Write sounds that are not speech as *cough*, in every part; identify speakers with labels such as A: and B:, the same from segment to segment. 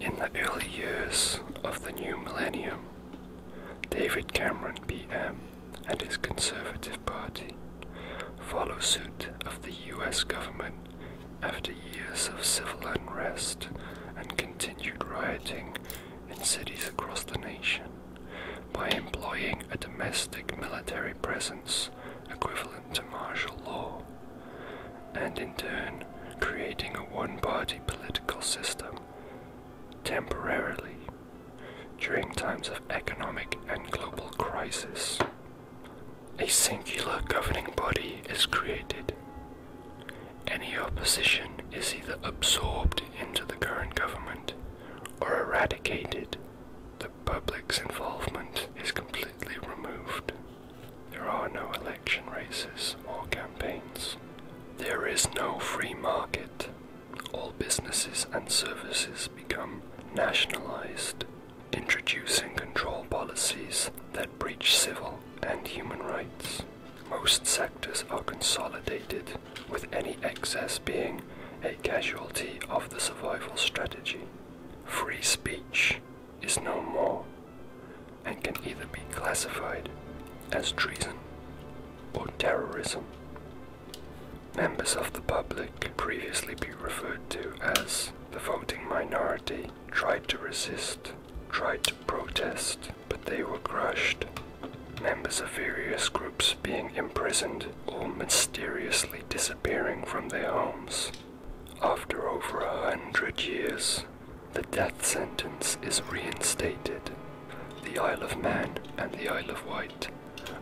A: In the early years of the new millennium, David Cameron PM and his Conservative Party follow suit of the US government after years of civil unrest and continued rioting in cities across the nation by employing a domestic military presence equivalent to martial law, and in turn creating a one party political system temporarily during times of economic and global crisis. A singular governing body is created. Any opposition is either absorbed into the current government or eradicated, the public's involvement is completely removed. There are no election races or campaigns. There is no free market. All businesses and services become nationalized, introducing control policies that breach civil and human rights. Most sectors are consolidated with any excess being a casualty of the survival strategy. Free speech is no more and can either be classified as treason or terrorism. Members of the public, previously be referred to as the voting minority, tried to resist, tried to protest, but they were crushed members of various groups being imprisoned or mysteriously disappearing from their homes. After over a hundred years, the death sentence is reinstated. The Isle of Man and the Isle of Wight,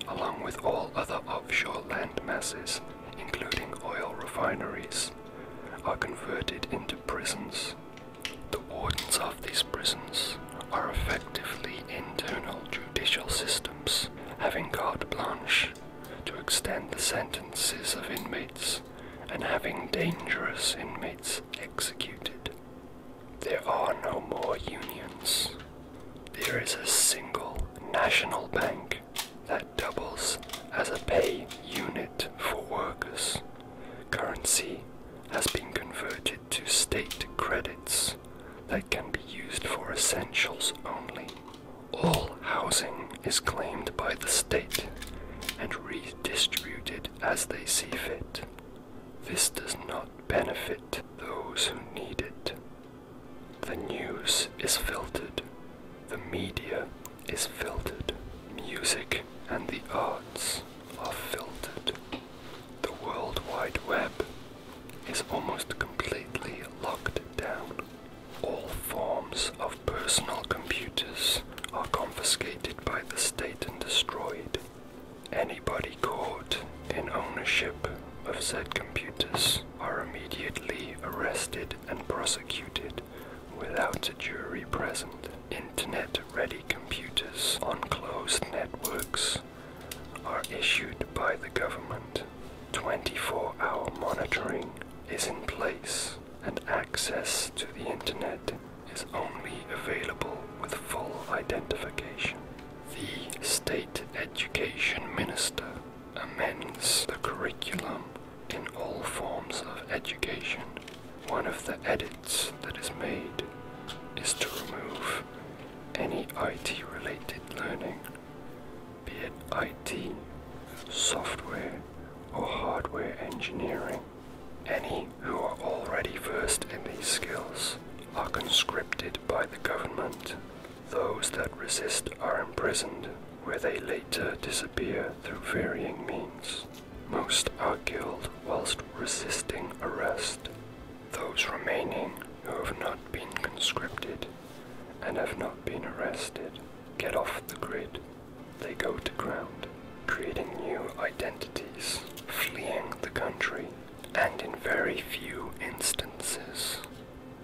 A: along with all other offshore land masses, including oil refineries, are converted into prisons. The wardens of these prisons are effectively internal judicial systems having carte blanche to extend the sentences of inmates and having dangerous inmates executed. There are no more unions. There is a single national bank that doubles as a pay unit for workers. Currency has been converted to state credits items that can be used for essentials only. All housing is claimed by the state and redistributed as they see fit. This does not benefit those who need it. The news is filtered, the media is filtered, music and the arts are filtered. The World Wide Web is almost completely locked down. All forms of personal computers are confiscated by the state and destroyed. Anybody caught in ownership of said computers are immediately arrested and prosecuted without a jury present. Internet ready computers on closed networks are issued by the government. 24 hour monitoring is in place, and access to the internet is only available with full identification. The State Education Minister amends the curriculum in all forms of education. One of the edits that is made is to remove any IT related learning, be it IT, software, or hardware engineering. Any who are already versed in these skills are conscripted by the government. Those that resist are imprisoned, where they later disappear through varying means. Most are killed whilst resisting arrest, those remaining who have not been conscripted and have not been arrested get off the grid. They go to ground, creating new identities, fleeing the country, and in very few instances,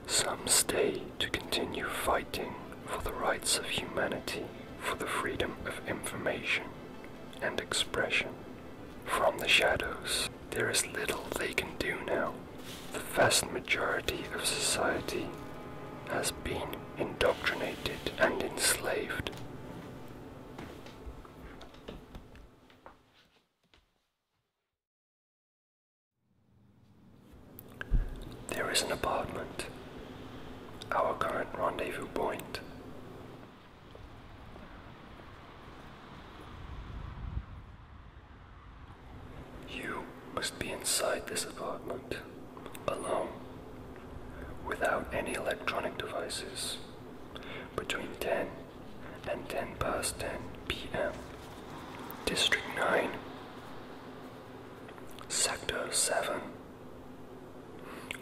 A: some stay to continue fighting for the rights of humanity, for the freedom of information, and expression. From the shadows, there is little they can do now. The vast majority of society has been indoctrinated and enslaved. There is an apartment, our current rendezvous point. You must be inside this apartment, alone, without any electronic devices, between 10 and 10 past 10 p.m. District 9, Sector 7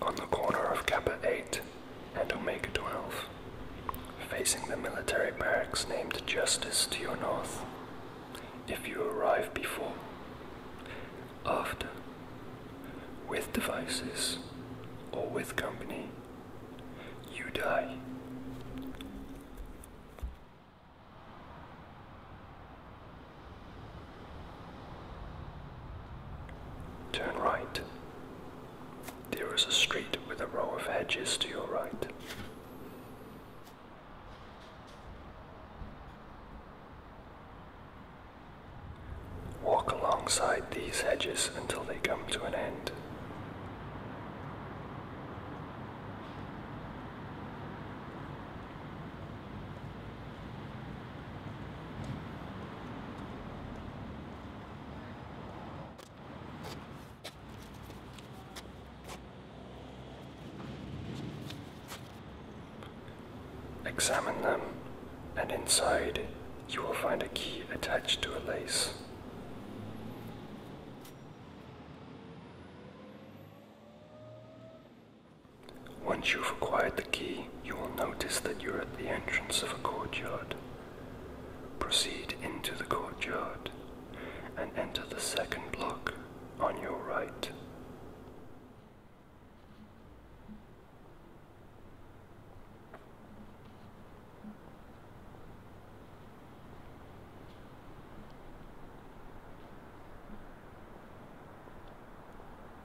A: on the corner of Kappa 8 and Omega 12, facing the military barracks named Justice to your north. If you arrive before, after, with devices, or with company, you die. Turn right. There is a street with a row of hedges to your right. Walk alongside these hedges until they come to an end. Examine them, and inside you will find a key attached to a lace. Once you've acquired the key, you will notice that you're at the entrance of a courtyard. Proceed into the courtyard and enter the second block on your right.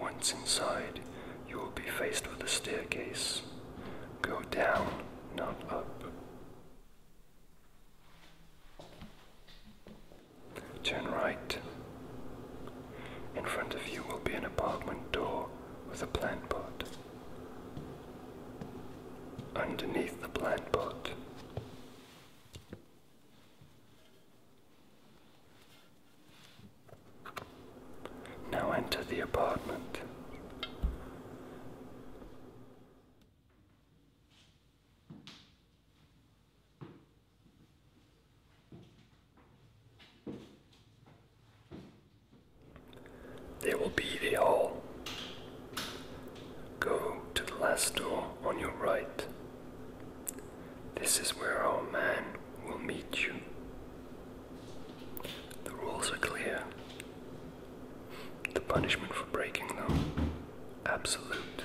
A: Once inside, you will be faced with a staircase. Go down, not up. Turn right. In front of you will be an apartment door with a plant pot. Underneath the plant pot. Now enter the apartment. There will be the hall. Go to the last door on your right. This is where our man will meet you. The rules are clear. The punishment for breaking them, absolute.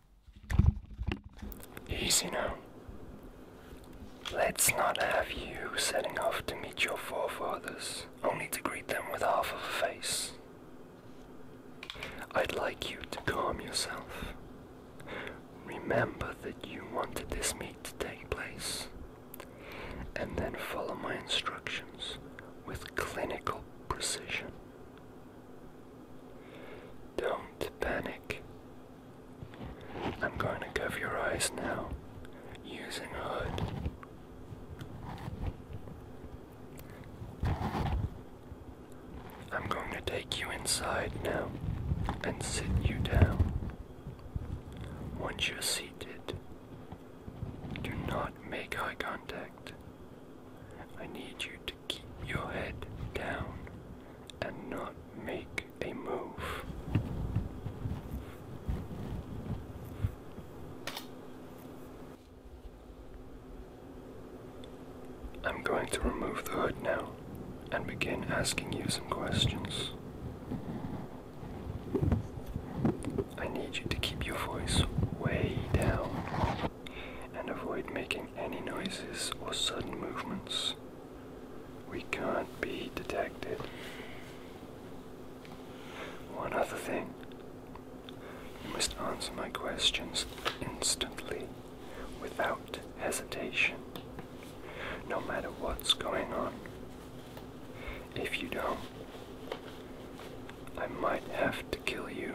A: Easy now. Let's not have you setting off to meet your forefathers, only to greet them with half of a face. I'd like you to calm yourself. Remember that you wanted this meet to take place, and then follow my instructions with clinical precision. Don't panic. I'm going to cover your eyes now using a hood. I'm going to take you inside now and sit you down. Once you're seated, do not make eye contact. I need you to keep your head down and not make a move. I'm going to remove the hood now and begin asking you some questions. I need you to keep your voice way down and avoid making any noises or sudden movements. We can't be detected. One other thing. You must answer my questions instantly, without hesitation, no matter what's going on. If you don't, I might have to kill you.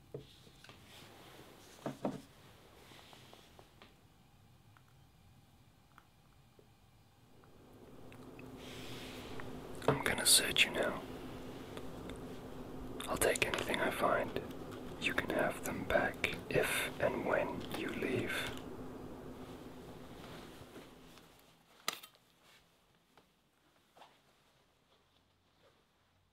A: I'm gonna search you now. I'll take anything I find. You can have them back if and when you leave.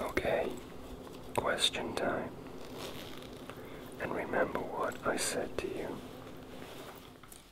A: Okay, question time. And remember what I said to you.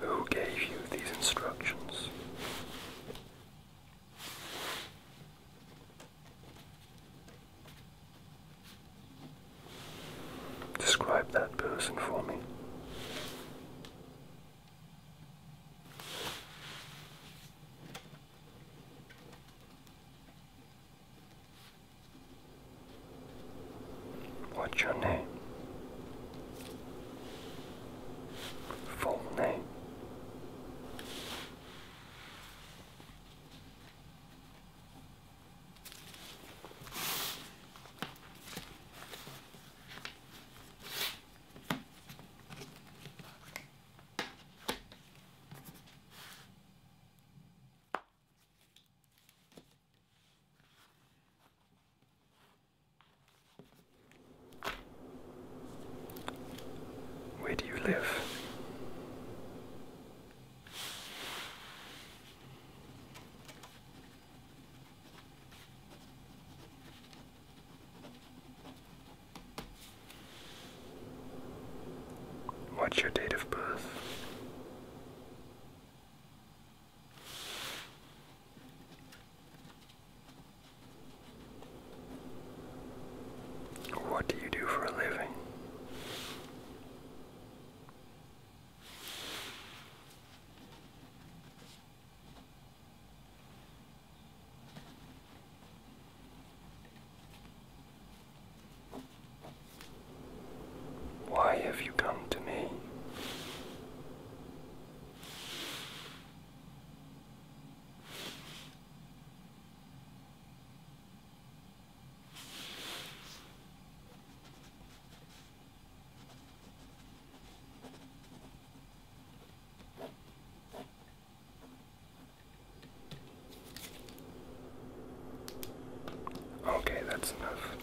A: Who gave you these instructions? Describe that person for me. What's your name? Full name. Where do you live? What's your date of birth? What do you do for a living? Why have you come to me? Okay, that's enough.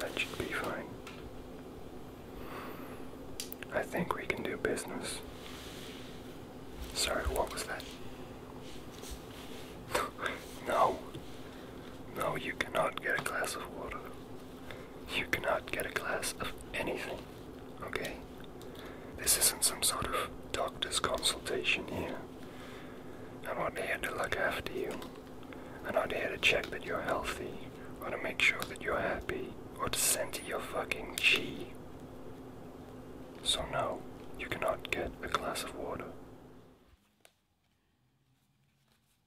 A: That should be fine. I think we can do business. Sorry, what was that? *laughs* no. No, you cannot get a glass of water you cannot get a glass of anything. Okay? This isn't some sort of doctor's consultation here. I'm not here to look after you. I'm not here to check that you're healthy, or to make sure that you're happy, or to send you your fucking chi. So, now, you cannot get a glass of water.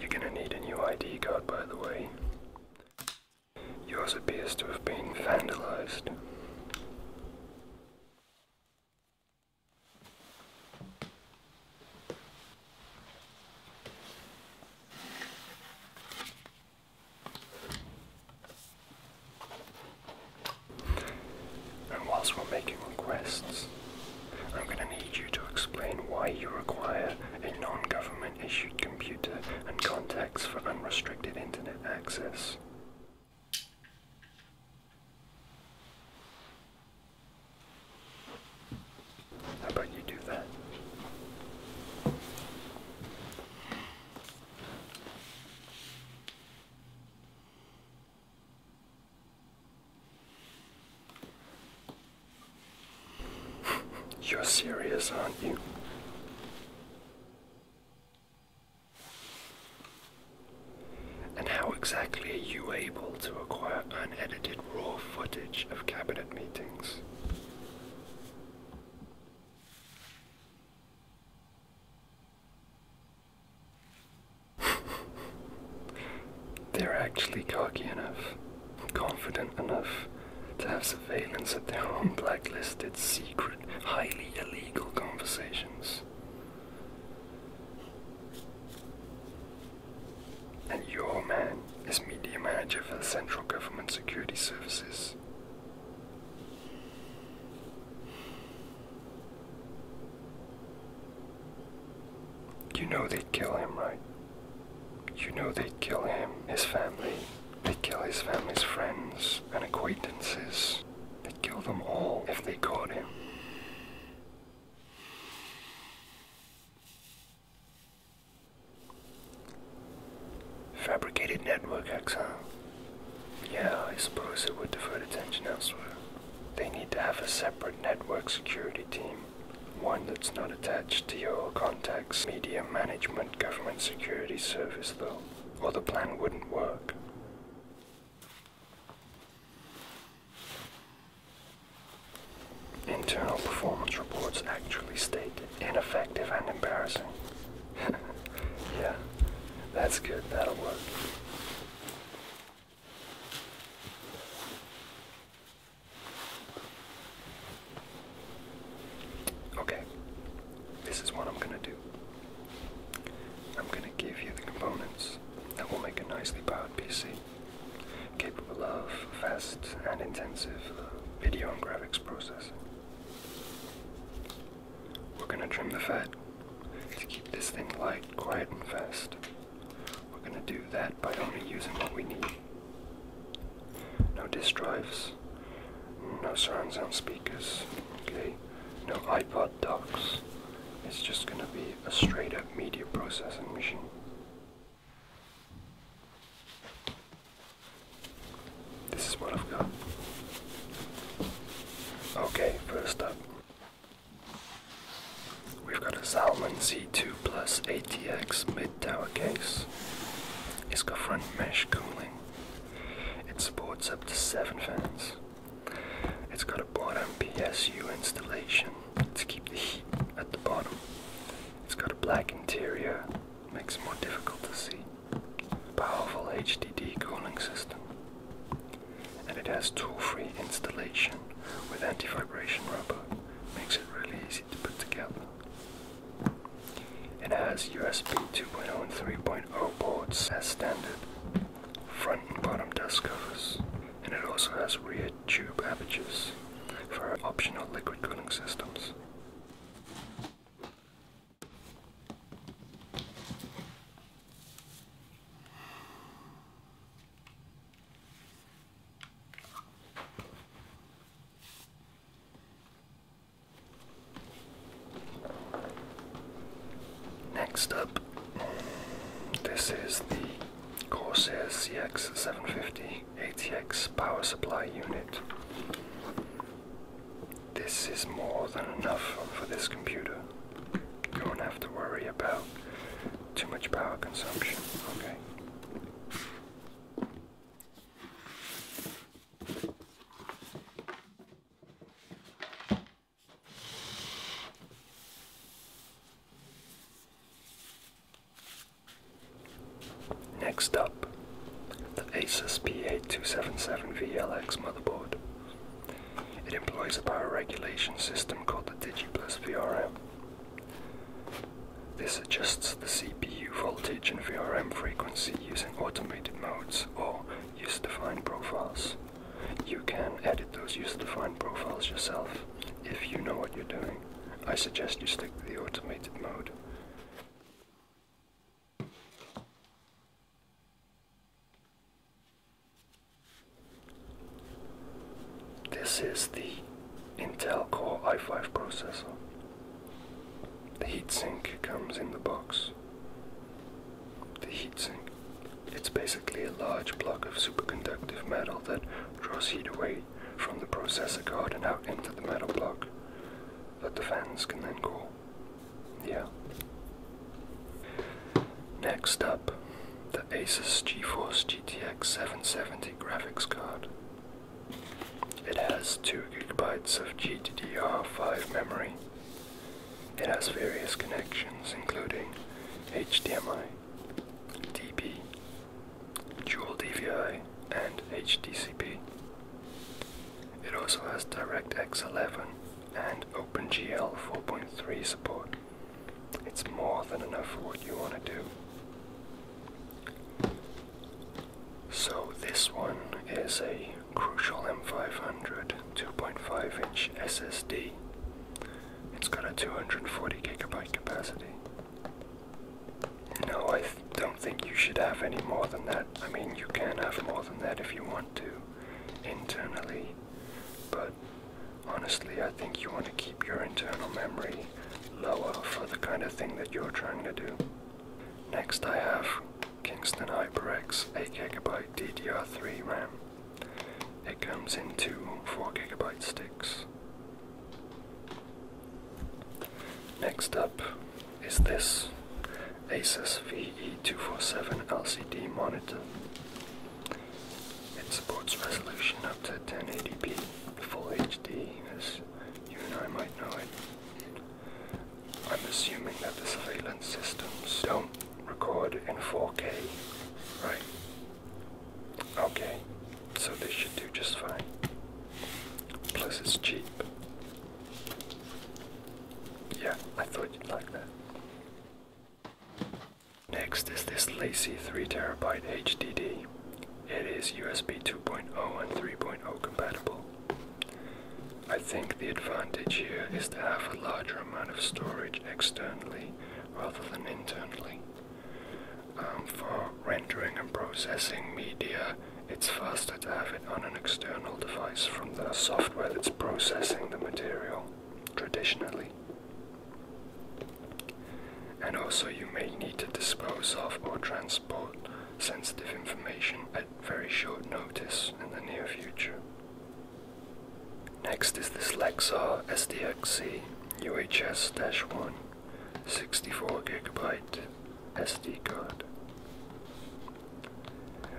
A: You're gonna need a new ID card, by the way. Yours appears to have been vandalized. And whilst we're making requests, I'm going to need you to explain why you require a non-government issued computer and contacts for unrestricted internet access. How about you do that? You're serious, aren't you? And how exactly are you able to acquire unedited raw footage of cabinet meetings? they're actually cocky enough, confident enough to have surveillance at their own blacklisted, secret, highly illegal conversations. And your man is media manager for the Central Government Security Services. You know they'd kill him, right? You know they'd kill him, his family. They'd kill his family's friends and acquaintances. They'd kill them all if they caught him. Fabricated network huh? Yeah, I suppose it would divert attention elsewhere. They need to have a separate network security team one that's not attached to your contacts, media management, government security service, though, or the plan wouldn't work. Internal performance reports actually state ineffective and embarrassing. *laughs* yeah, that's good, that'll work. Okay, this is what I'm going to do. I'm going to give you the components that will make a nicely powered PC, capable of fast and intensive uh, video and graphics processing. We're going to trim the fat to keep this thing light, quiet, and fast. We're going to do that by only using what we need. No disk drives, no surround sound speakers, okay, no iPod docks. It's just going to be a straight up media processing machine. This is what I've got. Okay, first up. We've got a Salmon Z2 Plus ATX mid tower case. It's got front mesh cooling. It supports up to 7 fans. It's got a bottom PSU installation to keep the heat at the bottom. It's got a black interior, makes it more difficult to see. Powerful HDD cooling system and it has tool-free installation with anti-vibration rubber. Makes it really easy to put together. It has USB 2.0 and 3.0 ports as standard, front and bottom dust covers, and it also has rear tube apertures for optional liquid cooling systems. Next up, this is the Corsair CX750 ATX power supply unit. This is more than enough for this computer. You not have to worry about too much power consumption. Okay. Next up, the Asus PA277VLX motherboard. It employs a power regulation system called the DigiPlus VRM. This adjusts the CPU voltage and VRM frequency using automated modes or user-defined profiles. You can edit those user-defined profiles yourself if you know what you're doing. I suggest you stick to the automated mode. This is the Intel Core i5 processor. The heatsink comes in the box. The heatsink. It's basically a large block of superconductive metal that draws heat away from the processor card and out into the metal block that the fans can then cool. Yeah. Next up, the Asus GeForce GTX 770 graphics card. It has 2GB of GDDR5 memory. It has various connections including HDMI, DP, dual DVI, and HDCP. It also has DirectX 11 and OpenGL 4.3 support. It's more than enough for what you want to do. So, this one is a Crucial M500 2.5 inch SSD. It's got a 240 gigabyte capacity. No, I don't think you should have any more than that. I mean, you can have more than that if you want to internally, but honestly, I think you want to keep your internal memory lower for the kind of thing that you're trying to do. Next, I have Kingston HyperX 8GB DDR3 RAM. It comes in two gigabyte sticks. Next up is this Asus VE247 LCD monitor. It supports resolution up to 1080p, full HD, as you and I might know it. I'm assuming that the surveillance systems don't record in 4K, right? Okay, so they should do just fine. Plus, it's cheap. Yeah, I thought you'd like that. Next is this lazy 3TB HDD. It is USB 2.0 and 3.0 compatible. I think the advantage here is to have a larger amount of storage externally rather than internally. Um, for rendering and processing media, it's faster to have it on an external device from the software that's processing the material traditionally. And also, you may need to dispose of or transport sensitive information at very short notice in the near future. Next is this Lexar SDXC UHS-1 64GB SD card.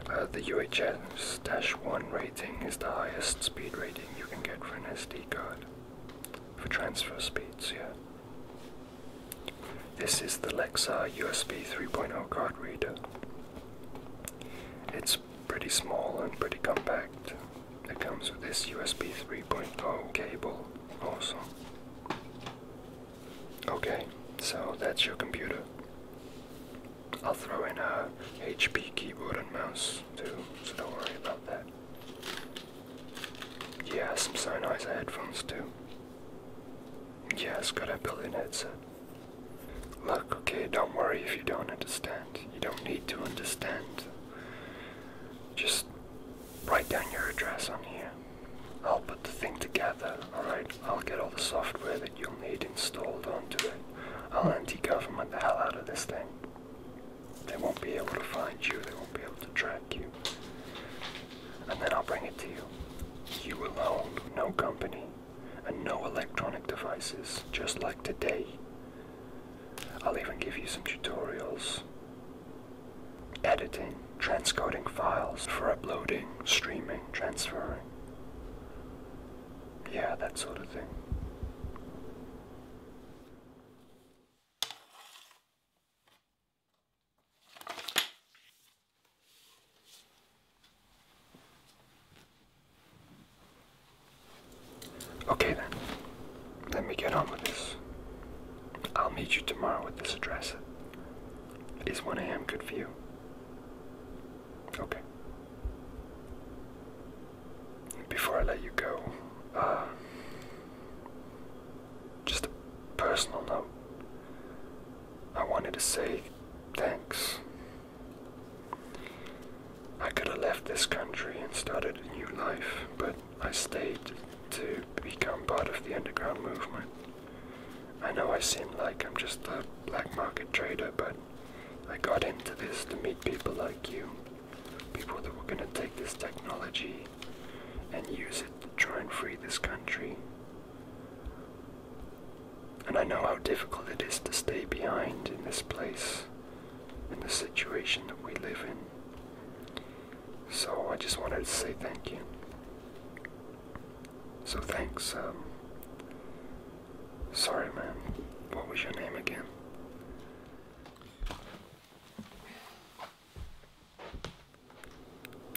A: Uh, the UHS-1 rating is the highest speed rating you can get for an SD card. For transfer speeds, yeah. This is the Lexar USB 3.0 card reader. It's pretty small and pretty compact. It comes with this USB 3.0 cable also. Okay, so that's your computer. I'll throw in a HP keyboard and mouse too, so don't worry about that. Yeah, some so headphones too. Yeah, it's got a built-in headset. Look, okay, don't worry if you don't understand. You don't need to understand. Just write down your address on here. I'll put the thing together, alright? I'll get all the software you'll need installed onto it. I'll anti-government the hell out of this thing. They won't be able to find you, they won't be able to track you. And then I'll bring it to you. You alone, no company, and no electronic devices, just like today. I'll even give you some tutorials. Editing, transcoding files for uploading, streaming, transferring yeah, that sort of thing. Okay then, let me get on with this. I'll meet you tomorrow at this address. Is 1 a.m. good for you? Okay. Before I let you go, uh, just a personal note. I wanted to say thanks. I could have left this country and started a new life, but I stayed to become part of the underground movement. I know I seem like I'm just a black market trader, but I got into this to meet people like you, people that were going to take this technology and use it to try and free this country. And I know how difficult it is to stay behind in this place, in the situation that we live in. So I just wanted to say thank you. So thanks, um, Sorry, man. What was your name again?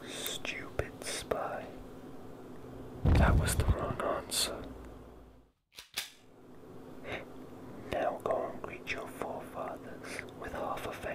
A: Stupid spy. That was the wrong answer. Now go and greet your forefathers with half a face.